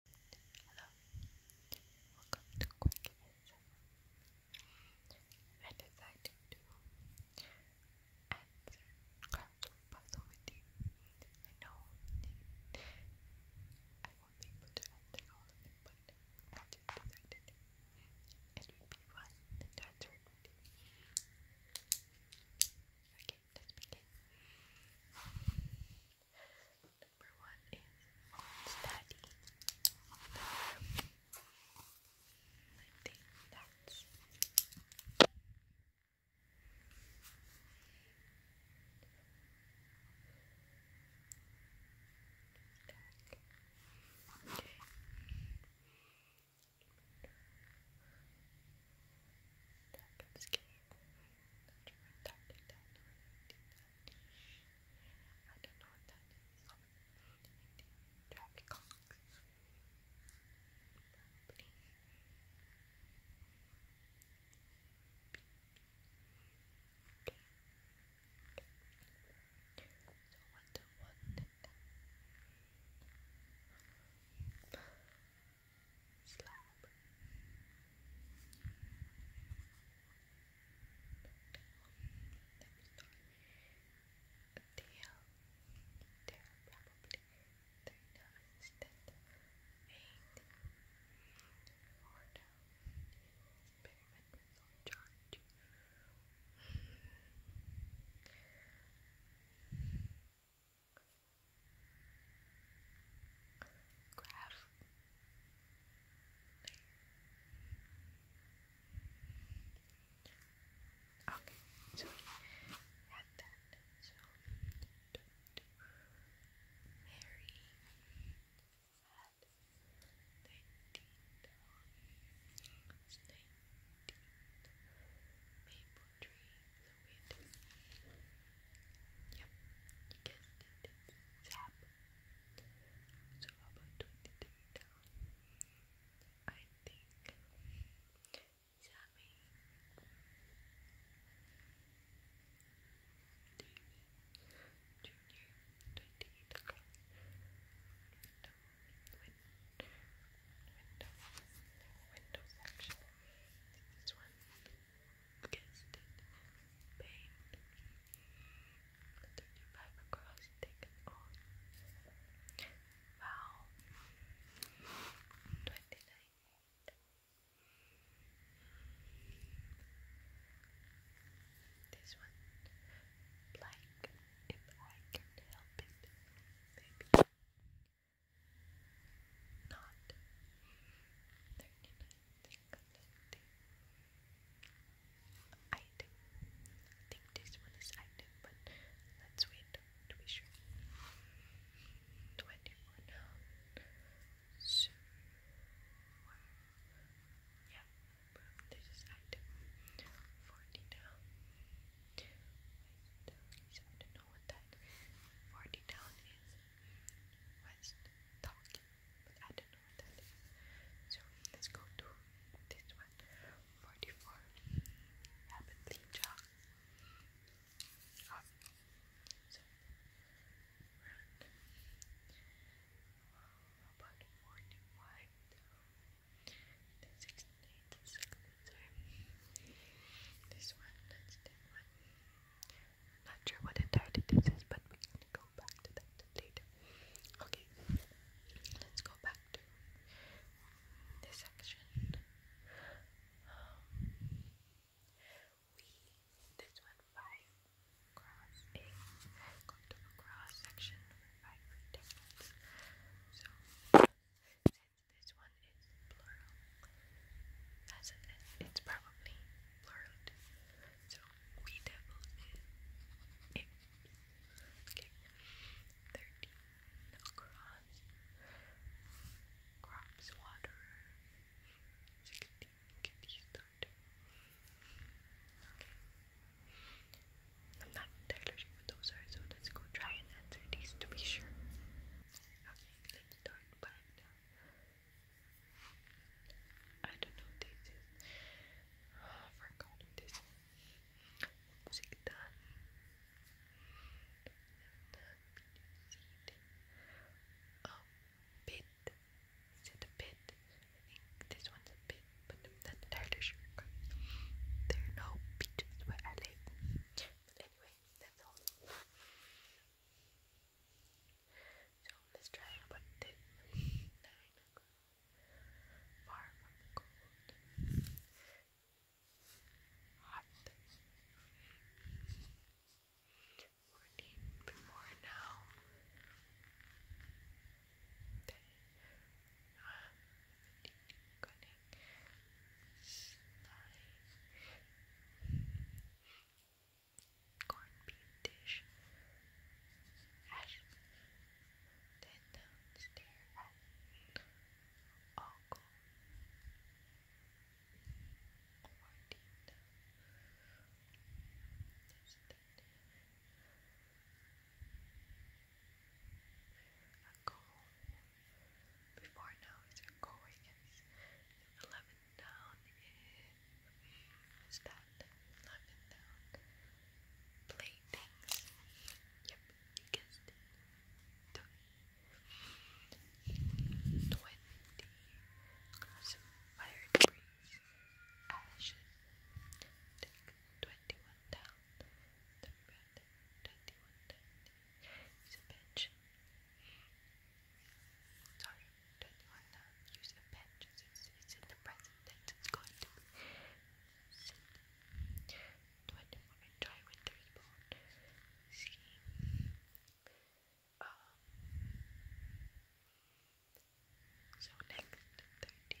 Hello, welcome to Quick ASMR. I decided to answer card puzzle with you. I know I won't be able to answer all of it, but I just decided it would be fun Okay, let's begin. Number one is unsteady. I think that's Okay. I don't know what that is. traffic cops. Okay slab. They'll, they're probably three dollars instead of eight. Or down. Experiment graph. Okay, so we had that. So Mary had nineteen it's nineteen maple trees Wait. Yep, you guessed it. Zap. So about 23 I think Sammy Junior 28 window, window, window section. This one guessed it, pain. 35 across, taken on. Wow. 29. This one, like, if I can help it, maybe not item I think this one is item but let's wait to be sure 21 yeah this is item 40 wait I don't know what that 40 is West talking, but I don't know what that is. So let's go to this one. 44. Rapidly jog. So, run. Well, about 45 down. Then 16, 16, 16. This one, that's the one. Not sure what entirety this is, but we're gonna go back to that later. Okay, let's go back to this section. Um, we this one five cross a going to a cross section five rectangles. So this one is plural. That's an S. It's probably plural So we devil it. Okay. Thirteen across. Crops water. I'm not entirely sure so let's go try and answer these to be sure let's start back I don't know this is oh, I forgot this Sigda Oh bit is it a bit? I think this one's a bit, but I'm not entirely There are no beaches where I live. But anyway that's all. So let's try number ten. Far cold. Hot. We're deep more now. Then, uh, Thai corned beef dish. Then downstairs at Uncle Martina. That's that. A cold before now, he's going and 11 down is that 11 down play Yep, you guessed it. 20 fire debris, ashes. 21 down. Take 21 He's a bitch. Sorry, don't want use a bench. It's, in the present tense. It's going to be sit. Do See. Um. So next, thirty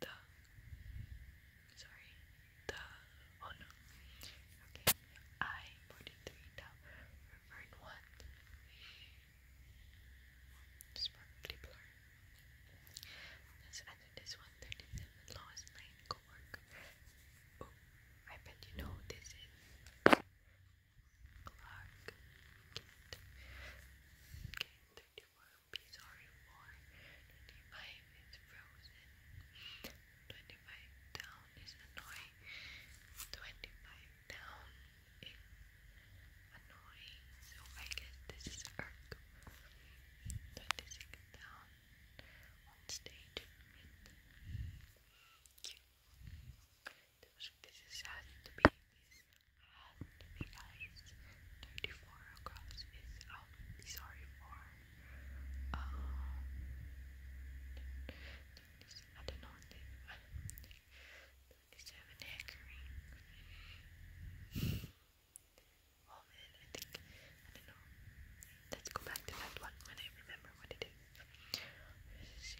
the sorry the oh no okay I forty three now revert one probably blur let's enter this one thirty seven lowest plane go oh, I bet you know this is Clark you 25 is frozen. 25 down is annoying. 25 down is annoying. So I guess this is irk. 26 down on stage with. This is sad to be had to 34 across is i sorry for. Um, I don't know Twenty-seven hankering. Oh man, I think I don't know. Let's go back to that one when I remember what it is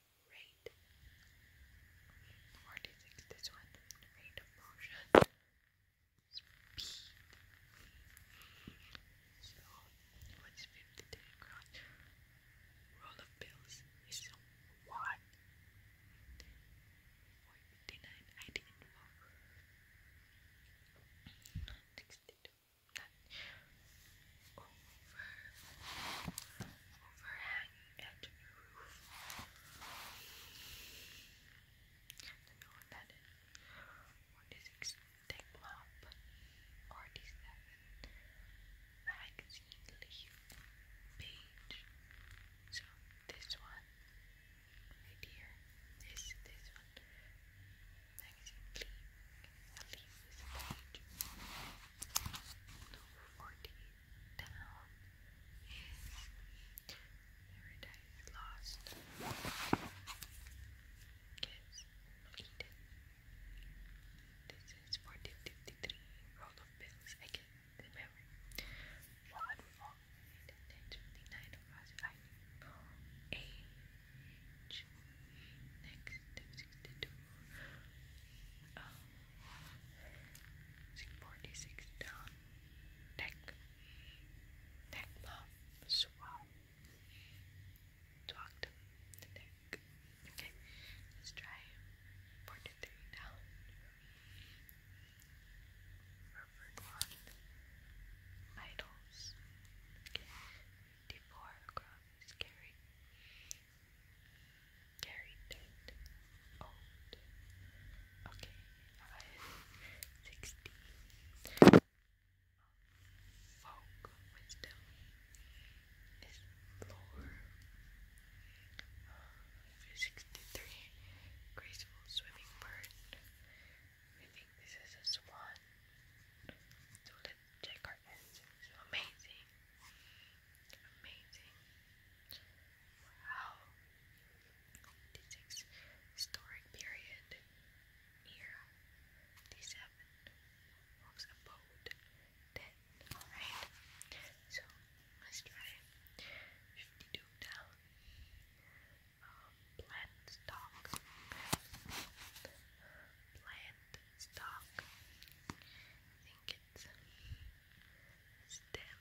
rate 46, this one, rate motion, speed so, what's 50 roll of bills is what? 59, I didn't know 62 not over overhang and your The note that is 46 magazine leaf page. So this one right here, this this one magazine leaf, a leaf is a page. Number 14 down is paradise lost. Gets This is 1453. Roll of bills. I can remember. One more. And then 29 of us. I age. Next, 62. Um, 46 down, neck, neck mouth, swab, talked the neck. Okay, let's try 43 down, reverend one, vitals, okay, 54 across, scary. Carry dead. Old. Okay. I Folk wisdom is lore. Uh, Graceful swimming bird. We think this is a swan. Jack Carton amazing. Amazing. Wow. D6 historic period. Era. D7 wolf's abode. 10. So let's try 52 down. Um, plant stock. Plant stock. think its stem.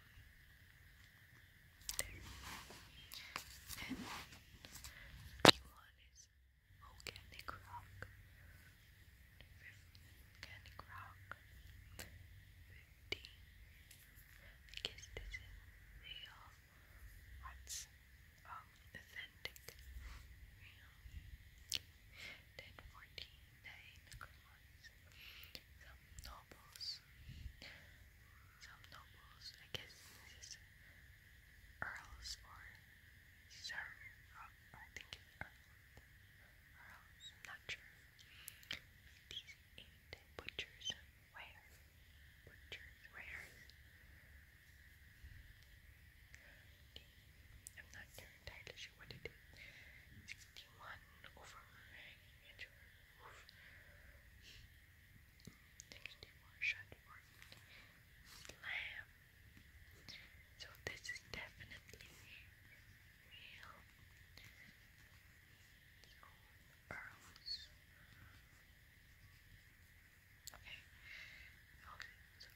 And one is organic rock. Organic rock. 15. this is real. What's um, authentic? Real. Then forty-nine crowns. Some nobles. Some nobles, I guess this earls or sir. I think it's earls. not sure. These eight butchers where? Butchers where? I'm not entirely she wanted it. 61 overhanging and roof. 61 shut or slam. So this is definitely real. Earls. Okay. Okay,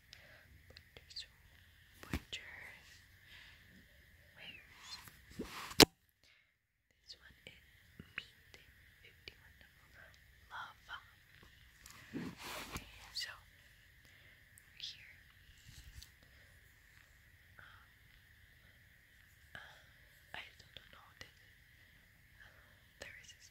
Pointers, pointers. Where's this one? Is meat fifty-one level lava. so here. I don't know. This, uh, there is this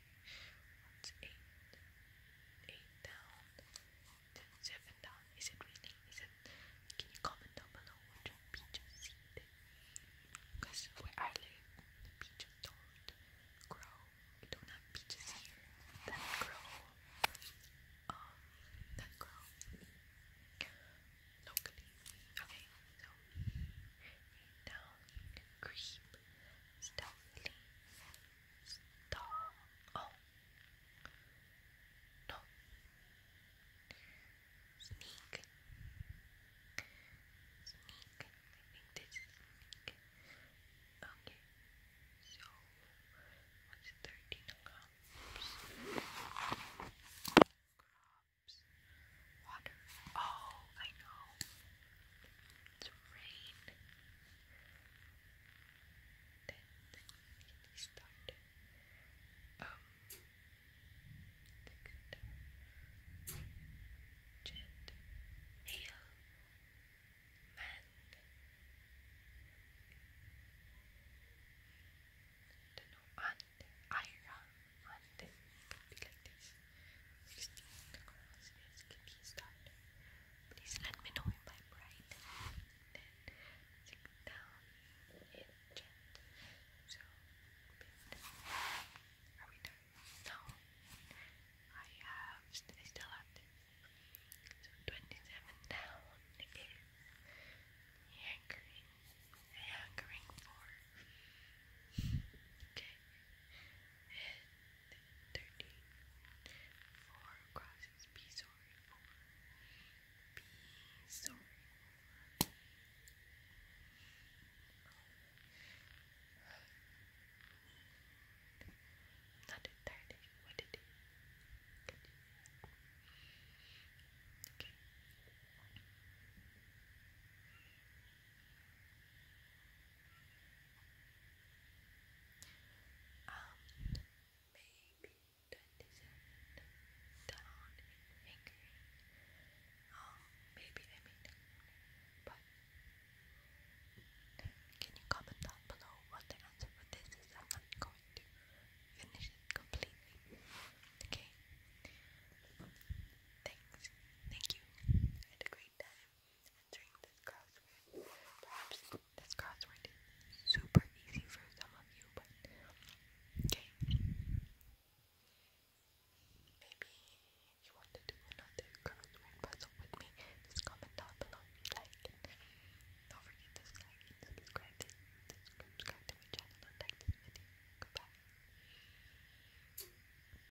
What's eight? Eight down. Seven down. Is it raining? Is it can you comment down below what don't grow. We don't have peaches here that grow. Um that grow locally. Okay, down creep stealthily Star. Oh. No. Sneak. Sneak. sneak. Okay. So, what's 13 crops? Crops. Water. Oh, I know. It's rain. Then immediately start um the good gent male man I know and Ira and it could be Christine Cross is Kiki's Please let me know if I'm right. Then sit down and So, are we done? No. I have, I still have this. So, 27 down again. Hankering. Hankering for. Okay. And thirteen. crosses B sorry over sorry not entirely, what did it? and maybe 27 down in Hungary. Um, maybe I mean, but can you comment down below what the answer for this is? I'm not going to finish it completely. Okay. Thanks. Thank you. had a great time answering Perhaps this crossword is super easy for some of you, but okay. Maybe you want to do another crossword puzzle with me. Just comment down below if you like Don't forget to like subscribe subscribe to my channel and like this video. Goodbye.